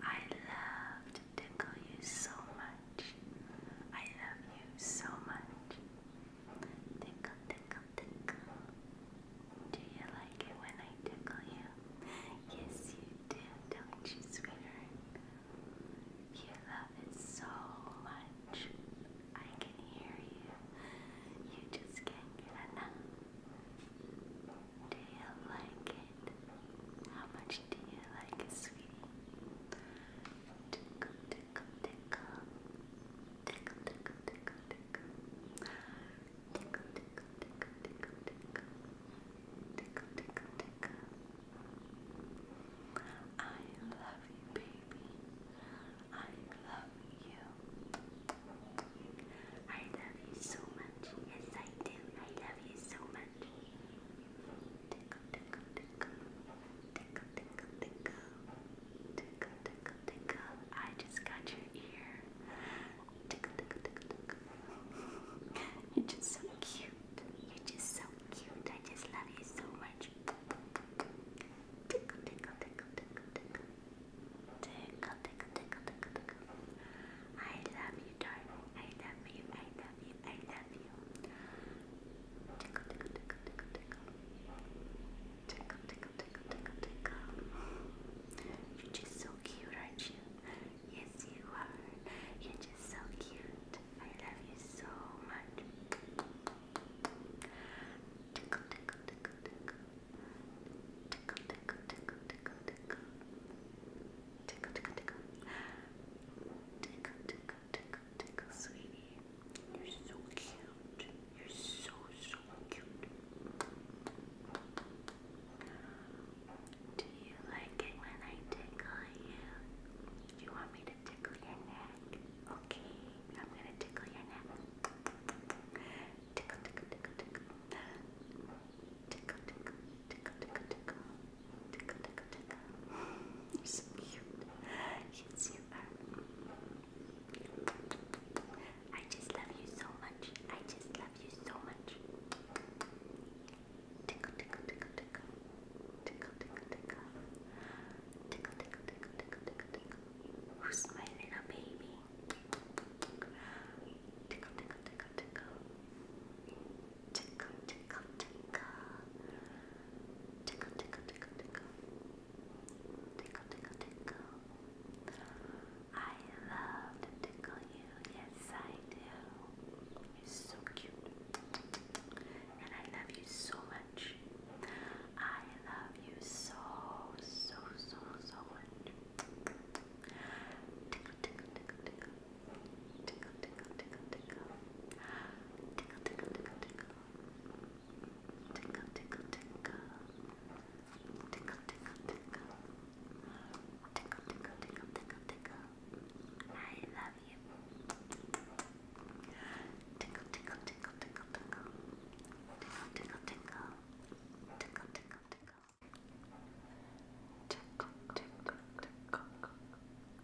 I love to tickle you so much. I love you so much. Tickle, tickle, tickle. Do you like it when I tickle you? Yes, you do, don't you, sweetheart? You love it so much. I can hear you. You just can't get enough. Do you like it? How much do you like it, sweetie? Tickle, tickle, tickle. Tickle, tickle, tickle, tickle. Tickle, tickle, tickle, tickle, tickle. Tickle, tickle, tickle. I love you, baby. I love you. I love you so much. Yes, I do. I love you so much. Tickle, tickle, tickle. Tickle, tickle, tickle. Tickle, tickle, tickle. I just got your ear. Tickle, tickle, tickle, tickle. You're just so cute. You're just so cute. I just love you so much. Tickle, tickle, tickle, tickle, tickle. Tickle, tickle, tickle, tickle, tickle. I love you, darling. I love you. I love you. I love you. Tickle, tickle, tickle, tickle, tickle. Tickle, tickle, tickle, tickle, tickle. You're just so cute, aren't you? Yes, you are. You're just so cute. I love you so much. Tickle, tickle, tickle, tickle. Tickle, tickle, tickle, tickle, tickle. Tickle, tickle, tickle. Tickle, tickle, tickle, tickle, sweetie. You're so cute. You're so, so cute. Do you like it when I tickle you? Do you want me to tickle your neck? Okay, I'm gonna tickle your neck tickle, tickle, tickle, tickle, tickle, tickle, tickle, tickle, tickle, tickle, tickle, tickle. You're so cute. Yes, you are. I just love you so much. I just love you so much. Tickle, tickle, tickle, tickle, tickle, tickle, tickle, tickle, tickle, tickle, tickle, tickle. Who's my little baby? tickle, tickle, tickle, tickle, tickle, tickle, tickle, tickle, tickle, tickle, tickle, tickle, tickle, tickle. I love to tickle you. Yes, I do. You're so cute, and I love you so much. I love you so, so, so, so much. Tickle, tickle, tickle, tickle. Tickle, tickle, tickle, tickle. Tickle, tickle, tickle, tickle. Tickle, tickle, tickle. Tickle, tickle, tickle. Tickle, tickle, I love you. Tickle, tickle, tickle, tickle, tickle, tickle, tickle, tickle, tickle, tickle, tickle, tickle,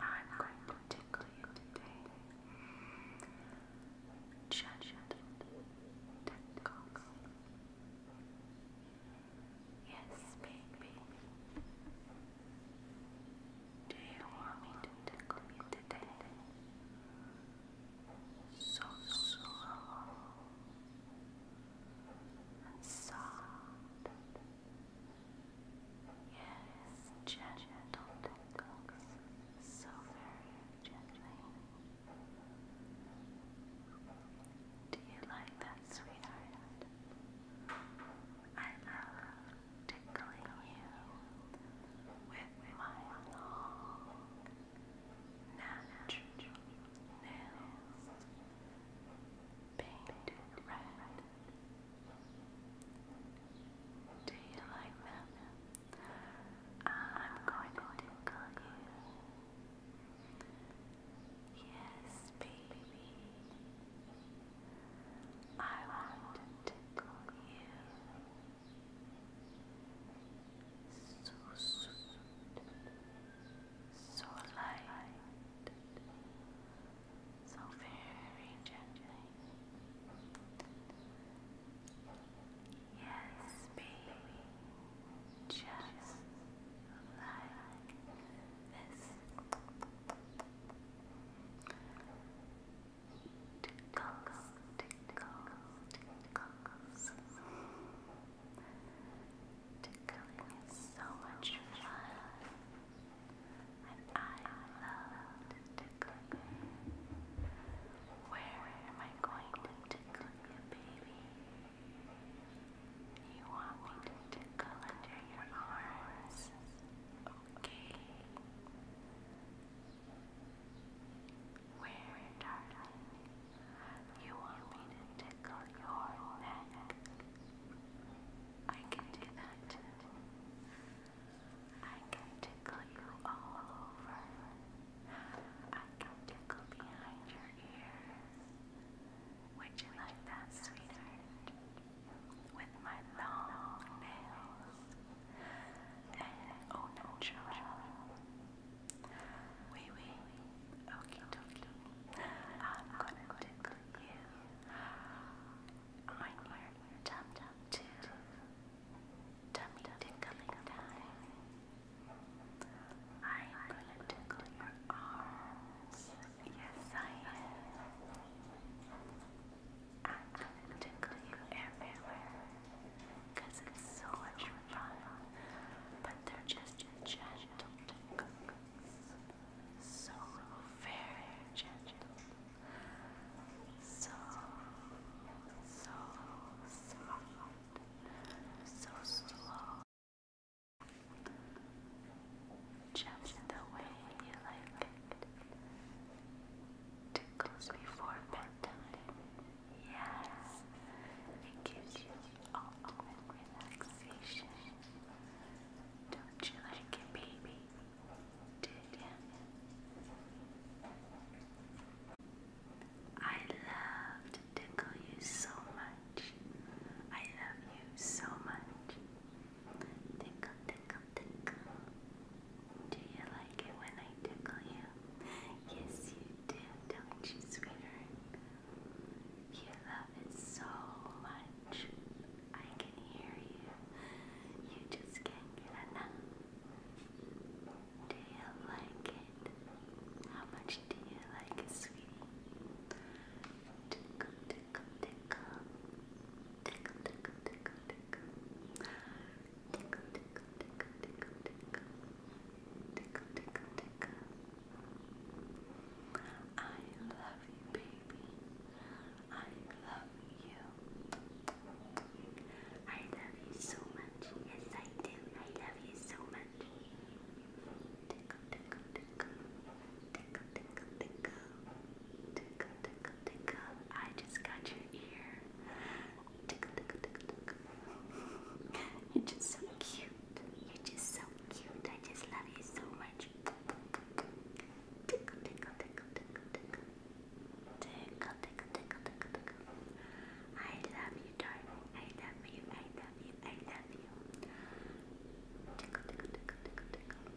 I'm going to tickle you today. Judge it, tickle. Yes, baby. Do you want me to tickle you today? so slow and soft. Yes, gentle tickles, so very gently. Do you like that, sweetheart? I love tickling you with my long, nails painted red. Do you like them? I'm going to tickle you. Yes, baby. I want to tickle you. So sweet, so light, so very gently. Yes, baby, just like this tickles, tickles, tickles. Tickling is so much fun, and I love tickling. Where am I going to tickle you, baby? You want me to tickle under your arms? okay. Where, darling, you want me to tickle your neck? I can do that I can tickle you all over. I can tickle behind your ears. Would you like that, sweetheart? with my long nails and au natural. Oui, oui, okie dokie. I'm gonna tickle you. I'm your tum tum too. Tummy tickling time. I'm gonna tickle your arms. Yes, I am. I'm gonna tickle you everywhere. it's so much fun. But they're just gentle tickles. So very gentle. So, so soft. So slow. Just the way you like it. Tickles before bedtime. Yes. It gives you ultimate relaxation. Don't you like it, baby? Did ya? I love to tickle you so much. I love you so much. Tickle, tickle, tickle. Do you like it when I tickle you? Yes, you do, don't you, sweetheart? You love it so much. I can hear you. You just can't get enough. Do you like it? How much do you like it, sweetie? Tickle, tickle, tickle, tickle, tickle, tickle, tickle, tickle, tickle, tickle, tickle, tickle, tickle, tickle, tickle, tickle. I love you, baby. I love you. I love you so much. Yes, I do. I love you so much tickle, tickle, tickle, tickle, tickle, tickle, tickle, tickle. I just got your ear. Tickle, tickle, tickle, tickle. You're just so cute. You're just so cute. I just love you so much. Tickle, tickle, tickle, tickle, tickle. Tickle, tickle, tickle, tickle, tickle. I love you, I love you. I love you. I love you. Tickle, tickle, tickle, tickle, tickle.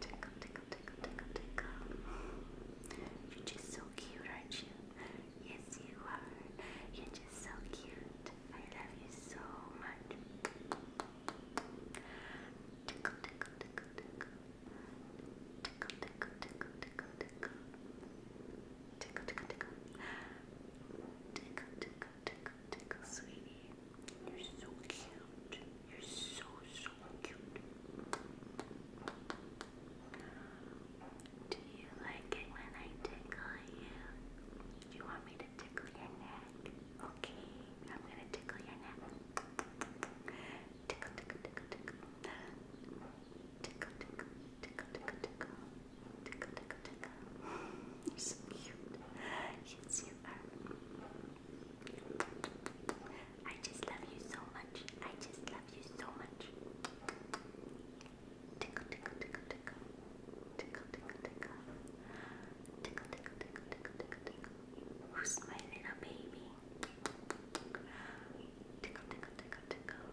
Tickle, tickle, tickle, tickle, tickle. You're just so cute, aren't you? Yes, you are. You're just so cute. I love you so much. Tickle, tickle, tickle, tickle. Tickle, tickle, tickle, tickle, tickle tickle, tickle, tickle, tickle, tickle, tickle, tickle, sweetie. You're so cute. You're so so cute. Do you like it when I tickle you? Do you want me to tickle your neck? Okay, I'm gonna tickle your neck. Tickle, tickle, tickle, tickle tickle, tickle, tickle, tickle, tickle, tickle, tickle, tickle. You're so cute. Yes, you are. I just love you so much. I just love you so much. tickle, tickle, tickle, tickle, tickle, tickle, tickle, tickle, tickle, tickle, tickle, tickle. Who's my little baby? Tickle, tickle, tickle, tickle.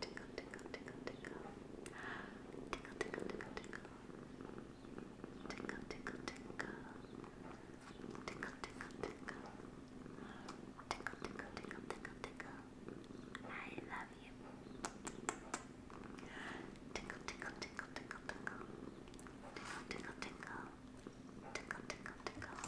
tickle, tickle, tickle, tickle, tickle, tickle, tickle, tickle, tickle, tickle, tickle, tickle, tickle, tickle, tickle, tickle, tickle, tickle, tickle. I love you. Tickle, tickle, tickle, tickle, tickle, tickle, tickle, tickle, tickle, tickle, tickle.